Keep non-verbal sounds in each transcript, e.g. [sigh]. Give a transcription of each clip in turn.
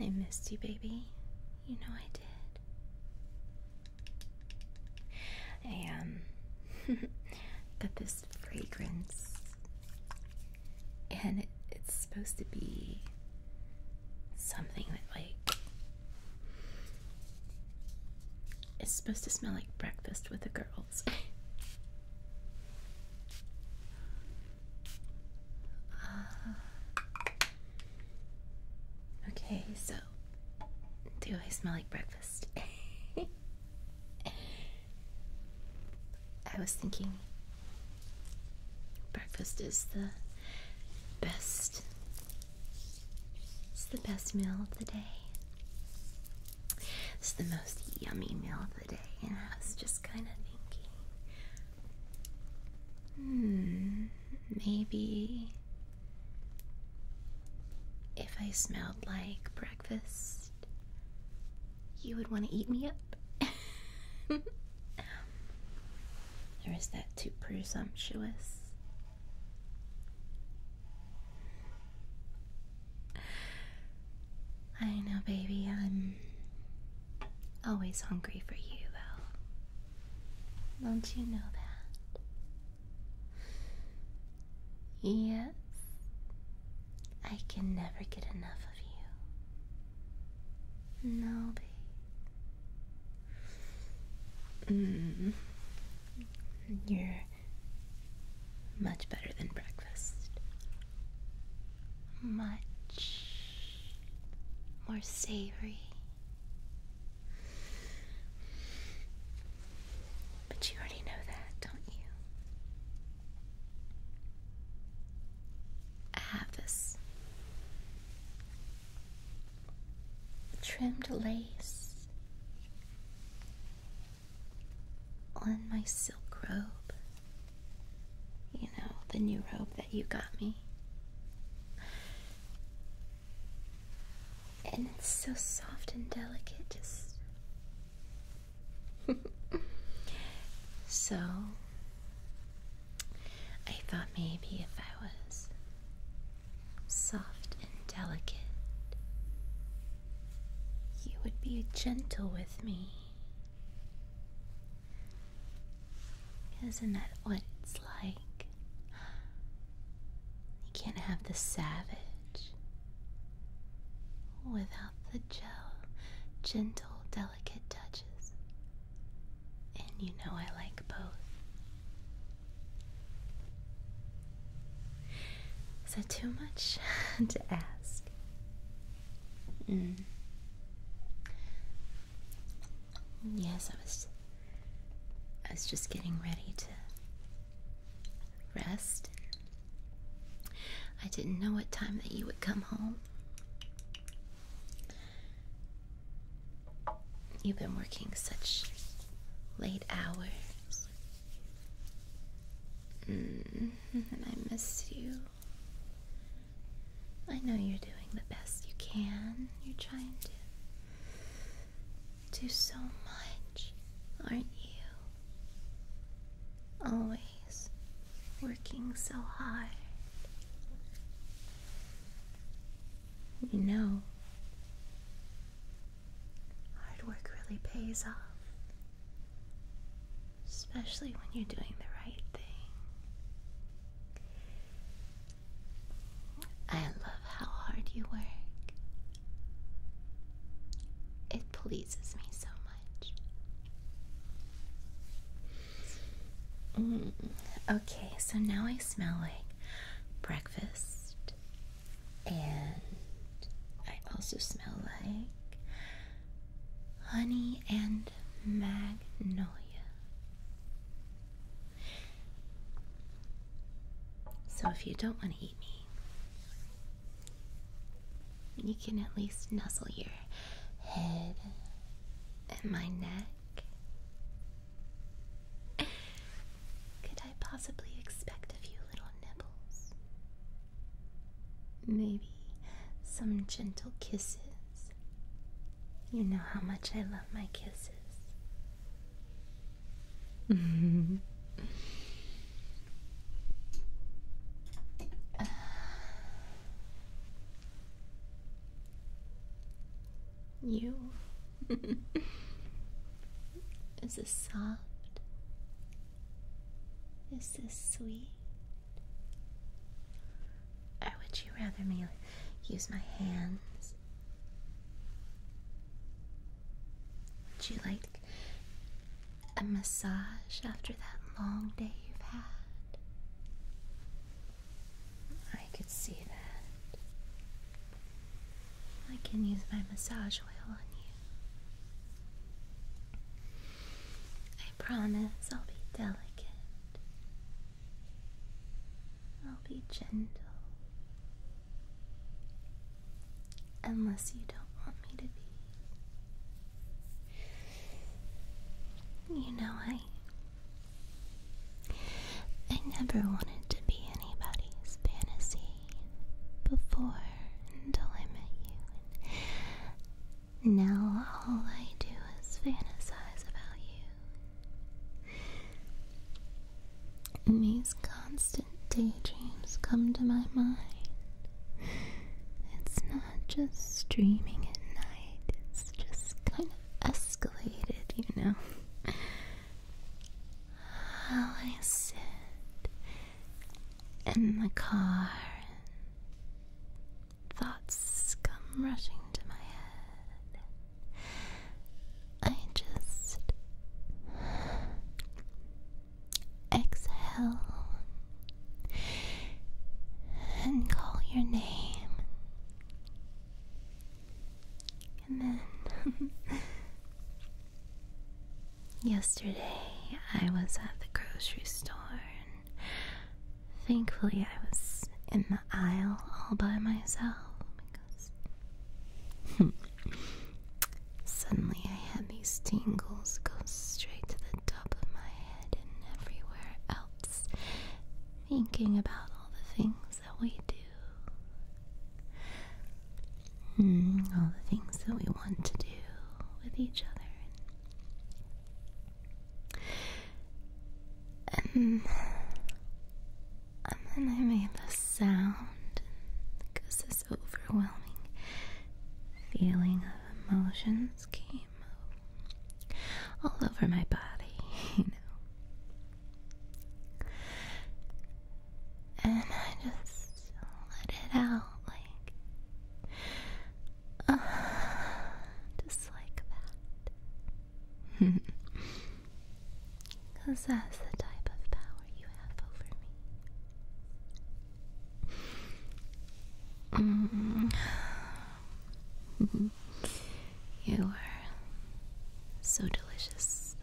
I missed you, baby. You know I did. I, um, [laughs] got this fragrance. And it's supposed to be something that, like, it's supposed to smell like breakfast with the girls. [laughs] Uh, okay, so do I smell like breakfast? [laughs] I was thinking breakfast is the best it's the best meal of the day. It's the most yummy meal of the day, and I was just kind of thinking, hmm, maybe if I smelled like breakfast, you would want to eat me up. [laughs] Um, or is that too presumptuous? I know, baby, I'm always hungry for you, though. Don't you know that? Yes, I can never get enough of you. No, babe. Mm. You're much better than breakfast. Much more savory. But you already know that, don't you? I have this trimmed lace on my silk robe. You know, the new robe that you got me. And it's so soft and delicate, just. [laughs] so, I thought maybe if I was soft and delicate, you would be gentle with me. Isn't that what it's like? You can't have the savage without the gel gentle, delicate touches. And you know I like both. Is that too much [laughs] to ask? Mm. Yes, I was I was just getting ready to rest. I didn't know what time that you would come home. You've been working such late hours. Mm-hmm, and I missed you. I know you're doing the best you can. You're trying to do so much, aren't you? Always working so hard. You know, hard work really pays off. Especially when you're doing the right thing. I love how hard you work. It pleases me so much. Mm. okay, so now I smell like breakfast, and I also smell like honey and magnolia. So, if you don't want to eat me, you can at least nuzzle your head and my neck. Could I possibly expect a few little nibbles? Maybe some gentle kisses. You know how much I love my kisses. [laughs] You. [laughs] Is this soft? Is this sweet? Or would you rather me use my hands? Would you like a massage after that long day you've had? I could see that. I can use my massage oil on you. I promise I'll be delicate. I'll be gentle. Unless you don't want me to be. You know I. never wanted to be anybody's fantasy before until I met you. now all I do is fantasize about you. And these constant daydreams come to my mind. It's not just streaming at night, it's just kind of escalated, you know. I sit in the car and thoughts come rushing to my head. I just exhale and call your name. And then [laughs] yesterday I was at the grocery store and thankfully I was in the aisle all by myself because [laughs] suddenly I had these tingles go straight to the top of my and everywhere else, thinking about all the things that we do. Hmm, all the things that we want to do with each other. Um, um and then I made this sound because this overwhelming feeling of emotions came all over my body, [laughs] you know. And I just let it out like uh, just like that. Because [laughs] that's the type of power you have over me. Mm. you are so delicious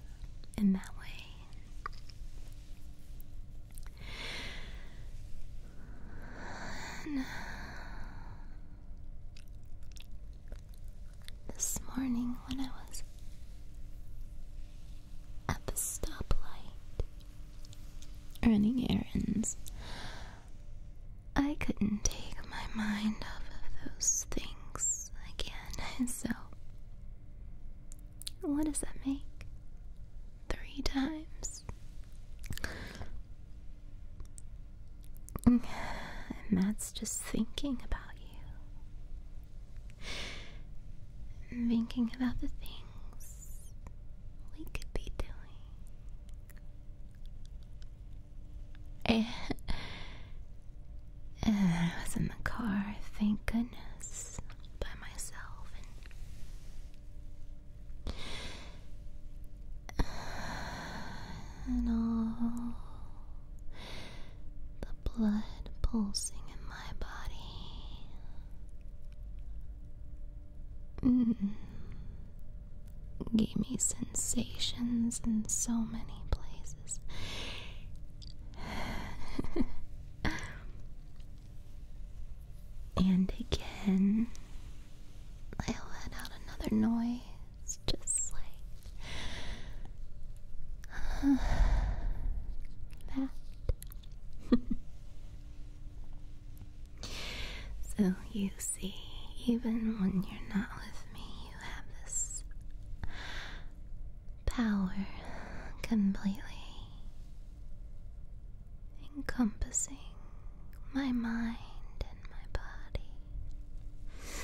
in that way. this morning, when I was at the stoplight, running errands. I couldn't take my mind off of those things again, [laughs] so. What does that make? Three times? Mm, and that's just thinking about you. Thinking about the things we could be doing. [laughs] I was in the car, thank goodness, by myself. and all the blood pulsing in my body. Mm. Gave me sensations in so many places. [sighs] and again, I let out another noise, just like [sighs] that. [laughs] So you see, even when you're not with me, you have this power completely encompassing my mind and my body.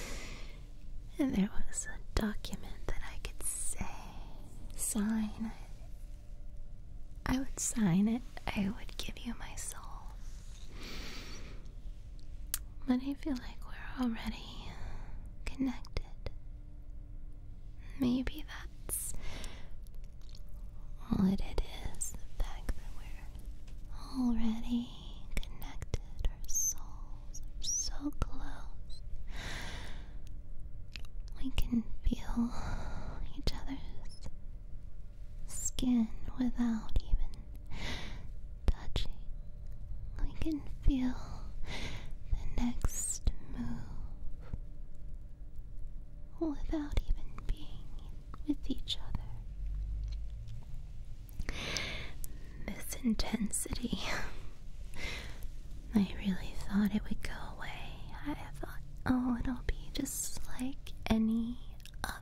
And there was a document that I could say, sign, I would sign it. I would give you my soul. But I feel like we're already connected. Maybe that's all it is the fact that we're already connected. Our souls so close. We can feel each other's skin without even touching. We can feel the next move without even being with each other. This intensity. [laughs] I really thought it would go away. I thought Oh, it'll be just like any other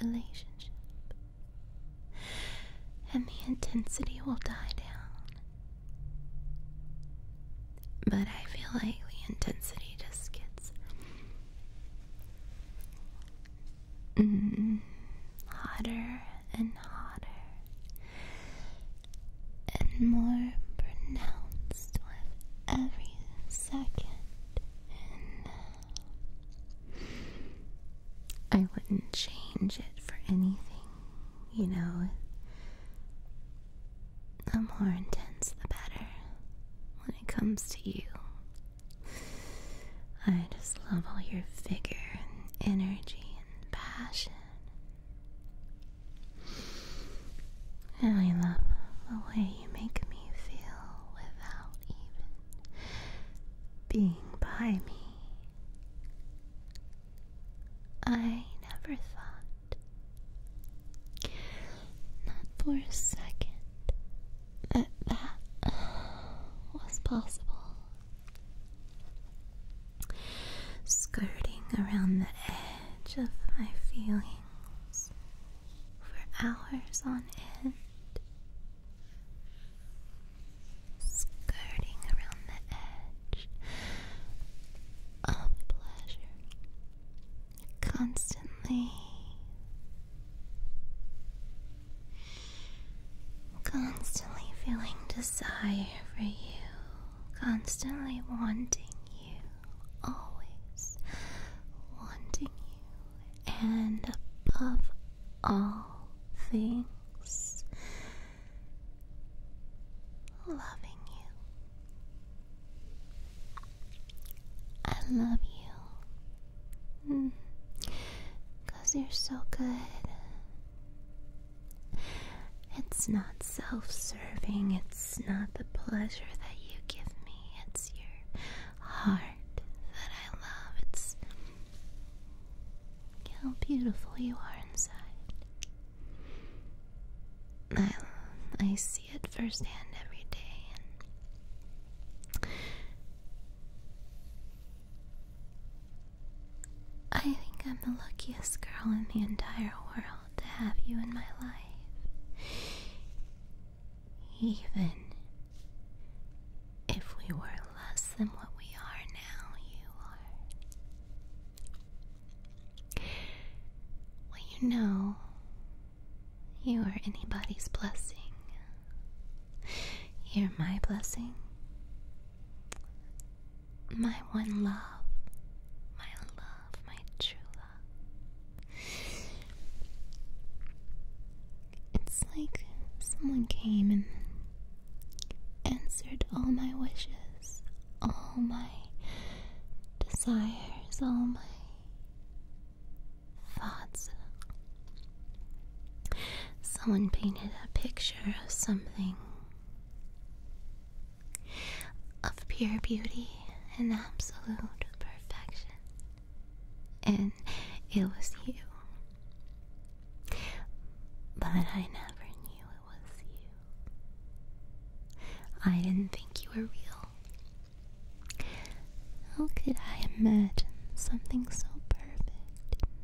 relationship. And the intensity will die down. But I feel like the intensity just gets mm, hotter and hotter and more pronounced with every second, and uh, I wouldn't change it for anything, you know. The more intense, the better when it comes to you. I just love all your vigor and energy and passion and I love the way you make me feel without even being by me. I never thought, not for a second, that that was possible skirting around the edge of my feelings for hours on end. Skirting around the edge of pleasure, constantly, constantly feeling desire for you, constantly wanting you, always wanting you, and above all things, loving you. I love you. Mm. Cause you're so good it's not self serving, it's not the pleasure that you give me, it's your heart that I love. It's how beautiful you are inside. I, I see it firsthand every day, and I think I'm the luckiest girl in the entire world thrilled to have you in my life. Even if we were less than what we are now, you are. Well, you know, you are anybody's blessing. You're my blessing my one love, my love, my true love. It's like someone came and answered all my wishes, all my desires, all my thoughts. Someone painted a picture of something of pure beauty and absolute perfection. And it was you. But I never knew it was you. I didn't think you were real. How could I imagine something so perfect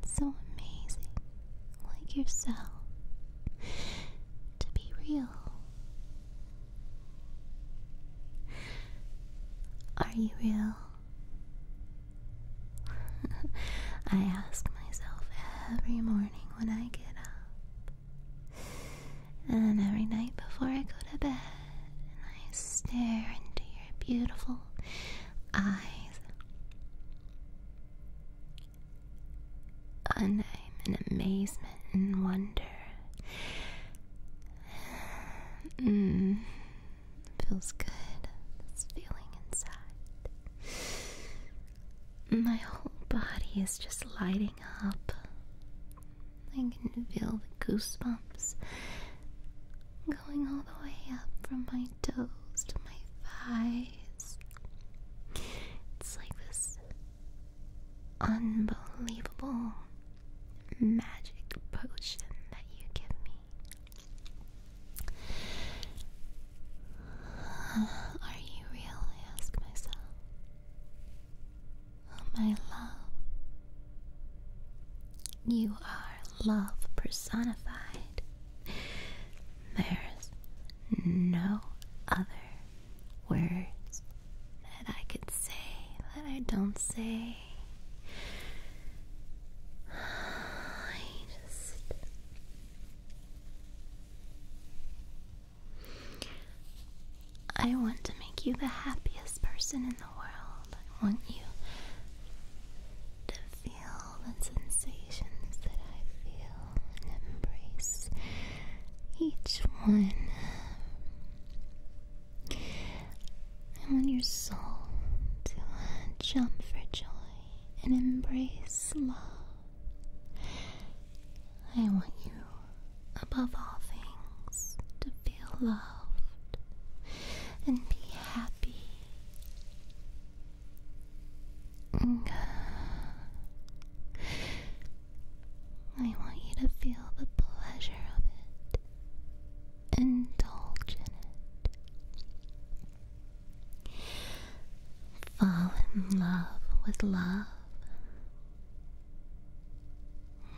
so amazing like yourself to be real. Are you real? [laughs] I ask myself every morning when I get up, and every night before I go to bed, and I stare into your beautiful eyes. And I'm in amazement and wonder. Mm, feels good, this feeling inside. My whole body is just lighting up. I can feel the goosebumps going all the way up from my toes to my it's like this unbelievable magic potion that you give me. [sighs] Are you real? I ask myself. Oh, my love. You are love personified. There's no other words that I could say that I don't say. [sighs] I just. I want to make you the happiest person in the world. I want you to feel the sensations that I feel and embrace each one. I want your soul to uh, jump for joy and embrace love. I want you, above all things, to feel loved and be happy I want you to feel the pleasure of it. Indulge in it. Fall in love with love.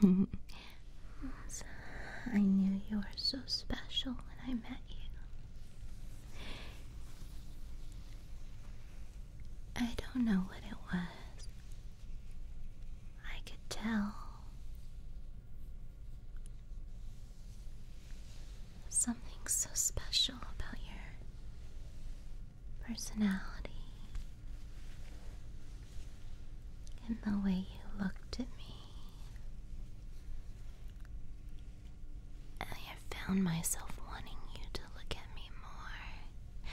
[laughs] I knew you were so special when I met you. I don't know what it was. I could tell. Something so special about your personality and the way you looked at me I have found myself wanting you to look at me more.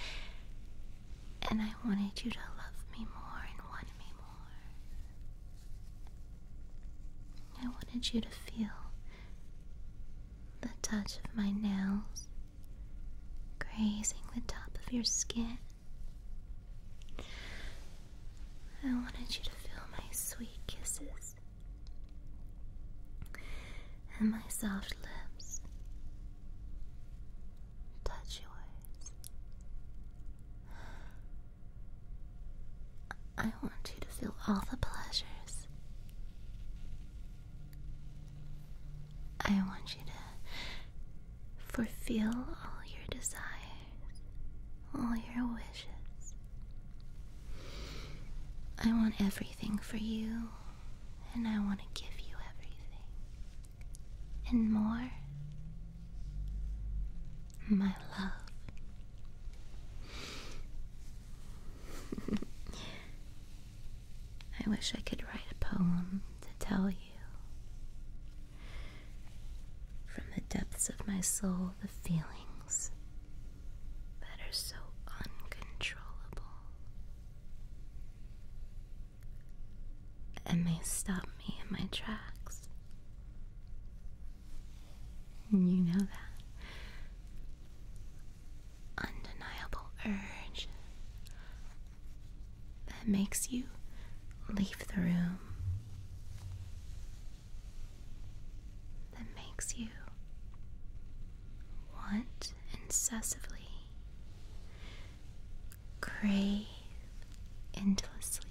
And I wanted you to love me more and want me more. I wanted you to feel the touch of my nails grazing the top of your skin. I wanted you to feel my sweet kisses and my soft lips touch yours. I want you to feel all the pleasures. I want you to fulfill all your desires all your wishes. I want everything for you, and I want to give you everything. And more, my love. [laughs] I wish I could write a poem to tell you. From the depths of my soul, the feelings that are so uncontrollable and may stop me in my tracks. And you know that undeniable urge that makes you leave the room that makes you want incessantly, crave endlessly.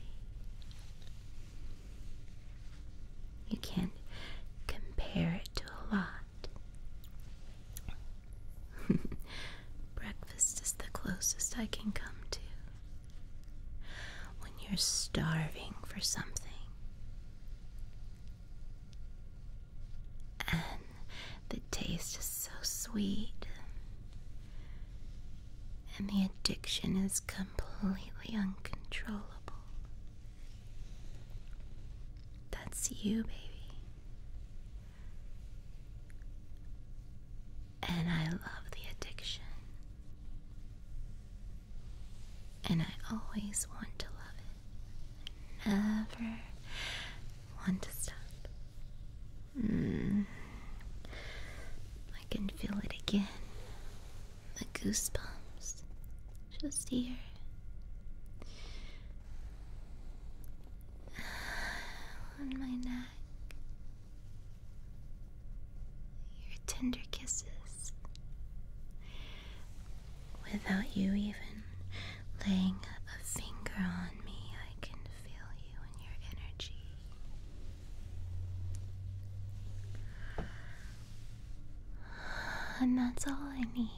You can't compare it to a lot. [laughs] Breakfast is the closest I can come to when you're starving for something. And the taste is so sweet, and the addiction is completely uncontrollable. That's you, baby. And I love the addiction. And I always want to love it. never want to stop. Mm. I can feel it again. The goosebumps. Just here. [sighs] On my neck your tender kisses. Without you even laying a finger on me, I can feel you and your energy. And that's all I need.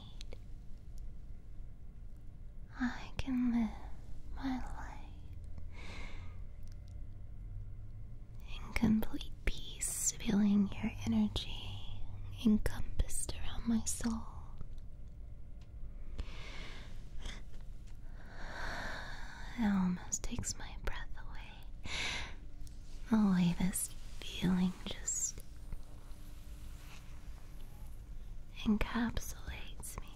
I can live my life in complete peace, feeling your energy encompassed around my soul. It almost takes my breath away. The way this feeling just encapsulates me.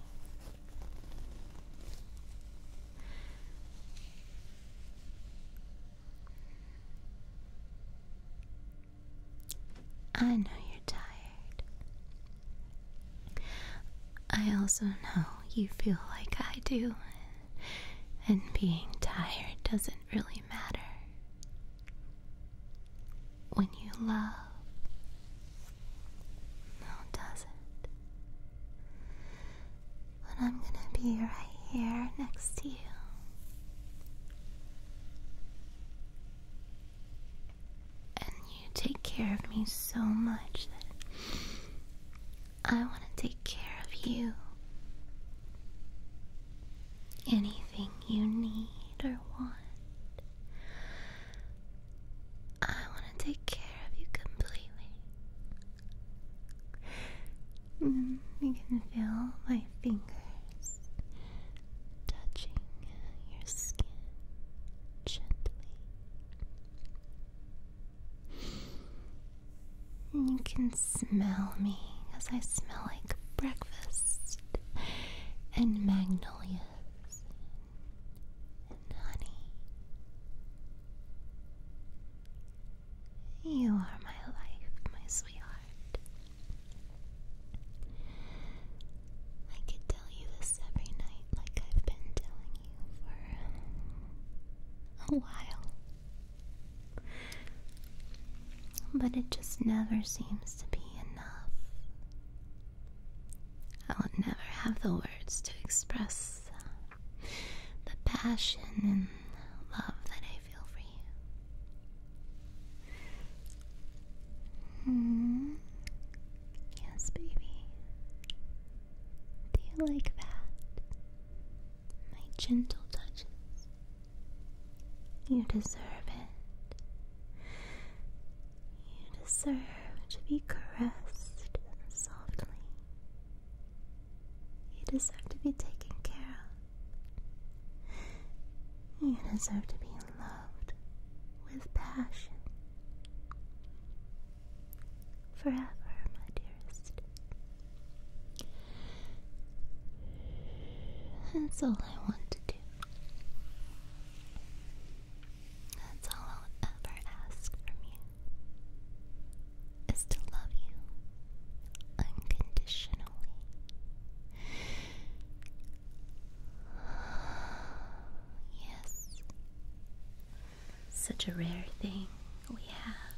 I know you're tired. I also know you feel like I do, and being tired doesn't really matter. When you love, no, does it? But I'm gonna be right here next to you. And you take care of me so much that I want to take care of you. Anything you need or want, I want to take care of you completely. Mm, you can feel my fingers touching uh, your skin gently. And you can smell me as I smell like breakfast and magnolias and honey. You are my life, my sweetheart. I could tell you this every night, like I've been telling you for a while. But it just never seems to be enough. I will never have the words to express the passion and love that I feel for you. Hmm. Yes, baby. Do you like that? My gentle touches. You deserve it. You deserve to be caressed softly. You deserve to be taken care of. You deserve to be loved with passion. Forever, my dearest. That's all I want to do. That's all I'll ever ask from you is to love you unconditionally. [sighs] Yes. Such a rare thing we have.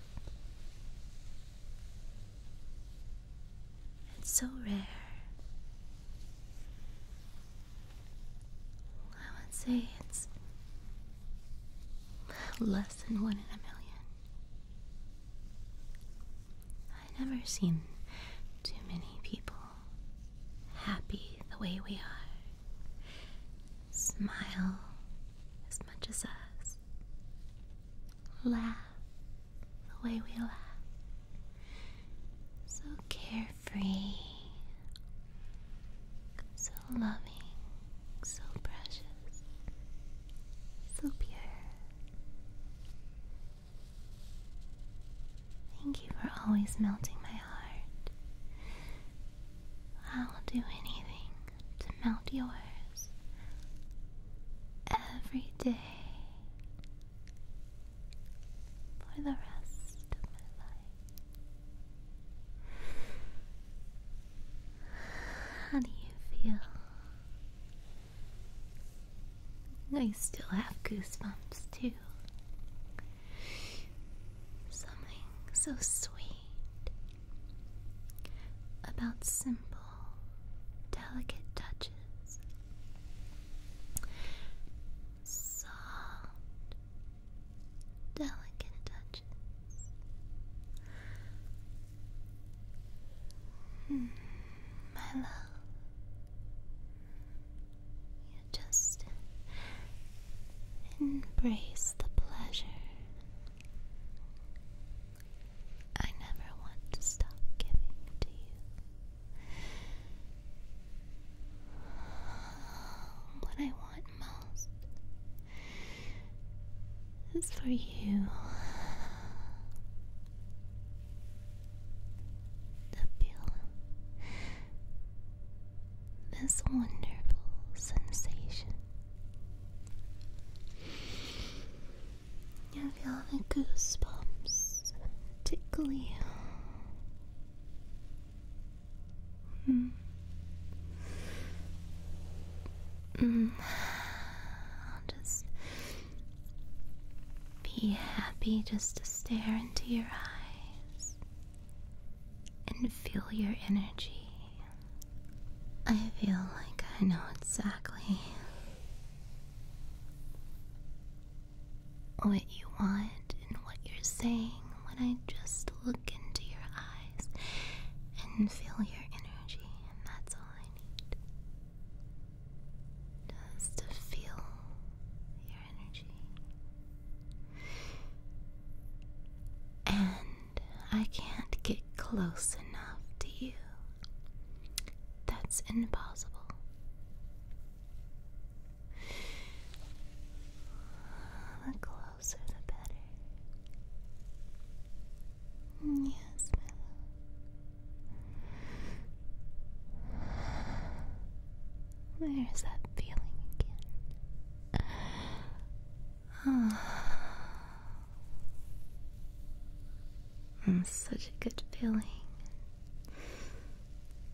It's so rare. I would say it's less than one in a million. I I've never seen too many people happy the way we are. Smile as much as us. Laugh the way we laugh. So carefree free, so loving, so precious, so pure. Thank you for always melting my heart. I'll do anything to melt yours every day for the rest of my life. How do you feel? I still have goosebumps too. Something so sweet about simple, delicate touches, soft, delicate touch, Mm, you just embrace the pleasure. I never want to stop giving to you. What I want most is for you to feel this wonderful sensation. You feel the goosebumps tickle you Hmm. Mm. I'll just be happy just to stare into your eyes and feel your energy. I feel like I know exactly what you want and what you're saying when I just look into your eyes and feel your energy, and that's all I need. Just to feel your energy. And I can't get close enough to you. That's impossible. The closer, the better. Yes, Where is that feeling again? Oh. [sighs] Such a good feeling.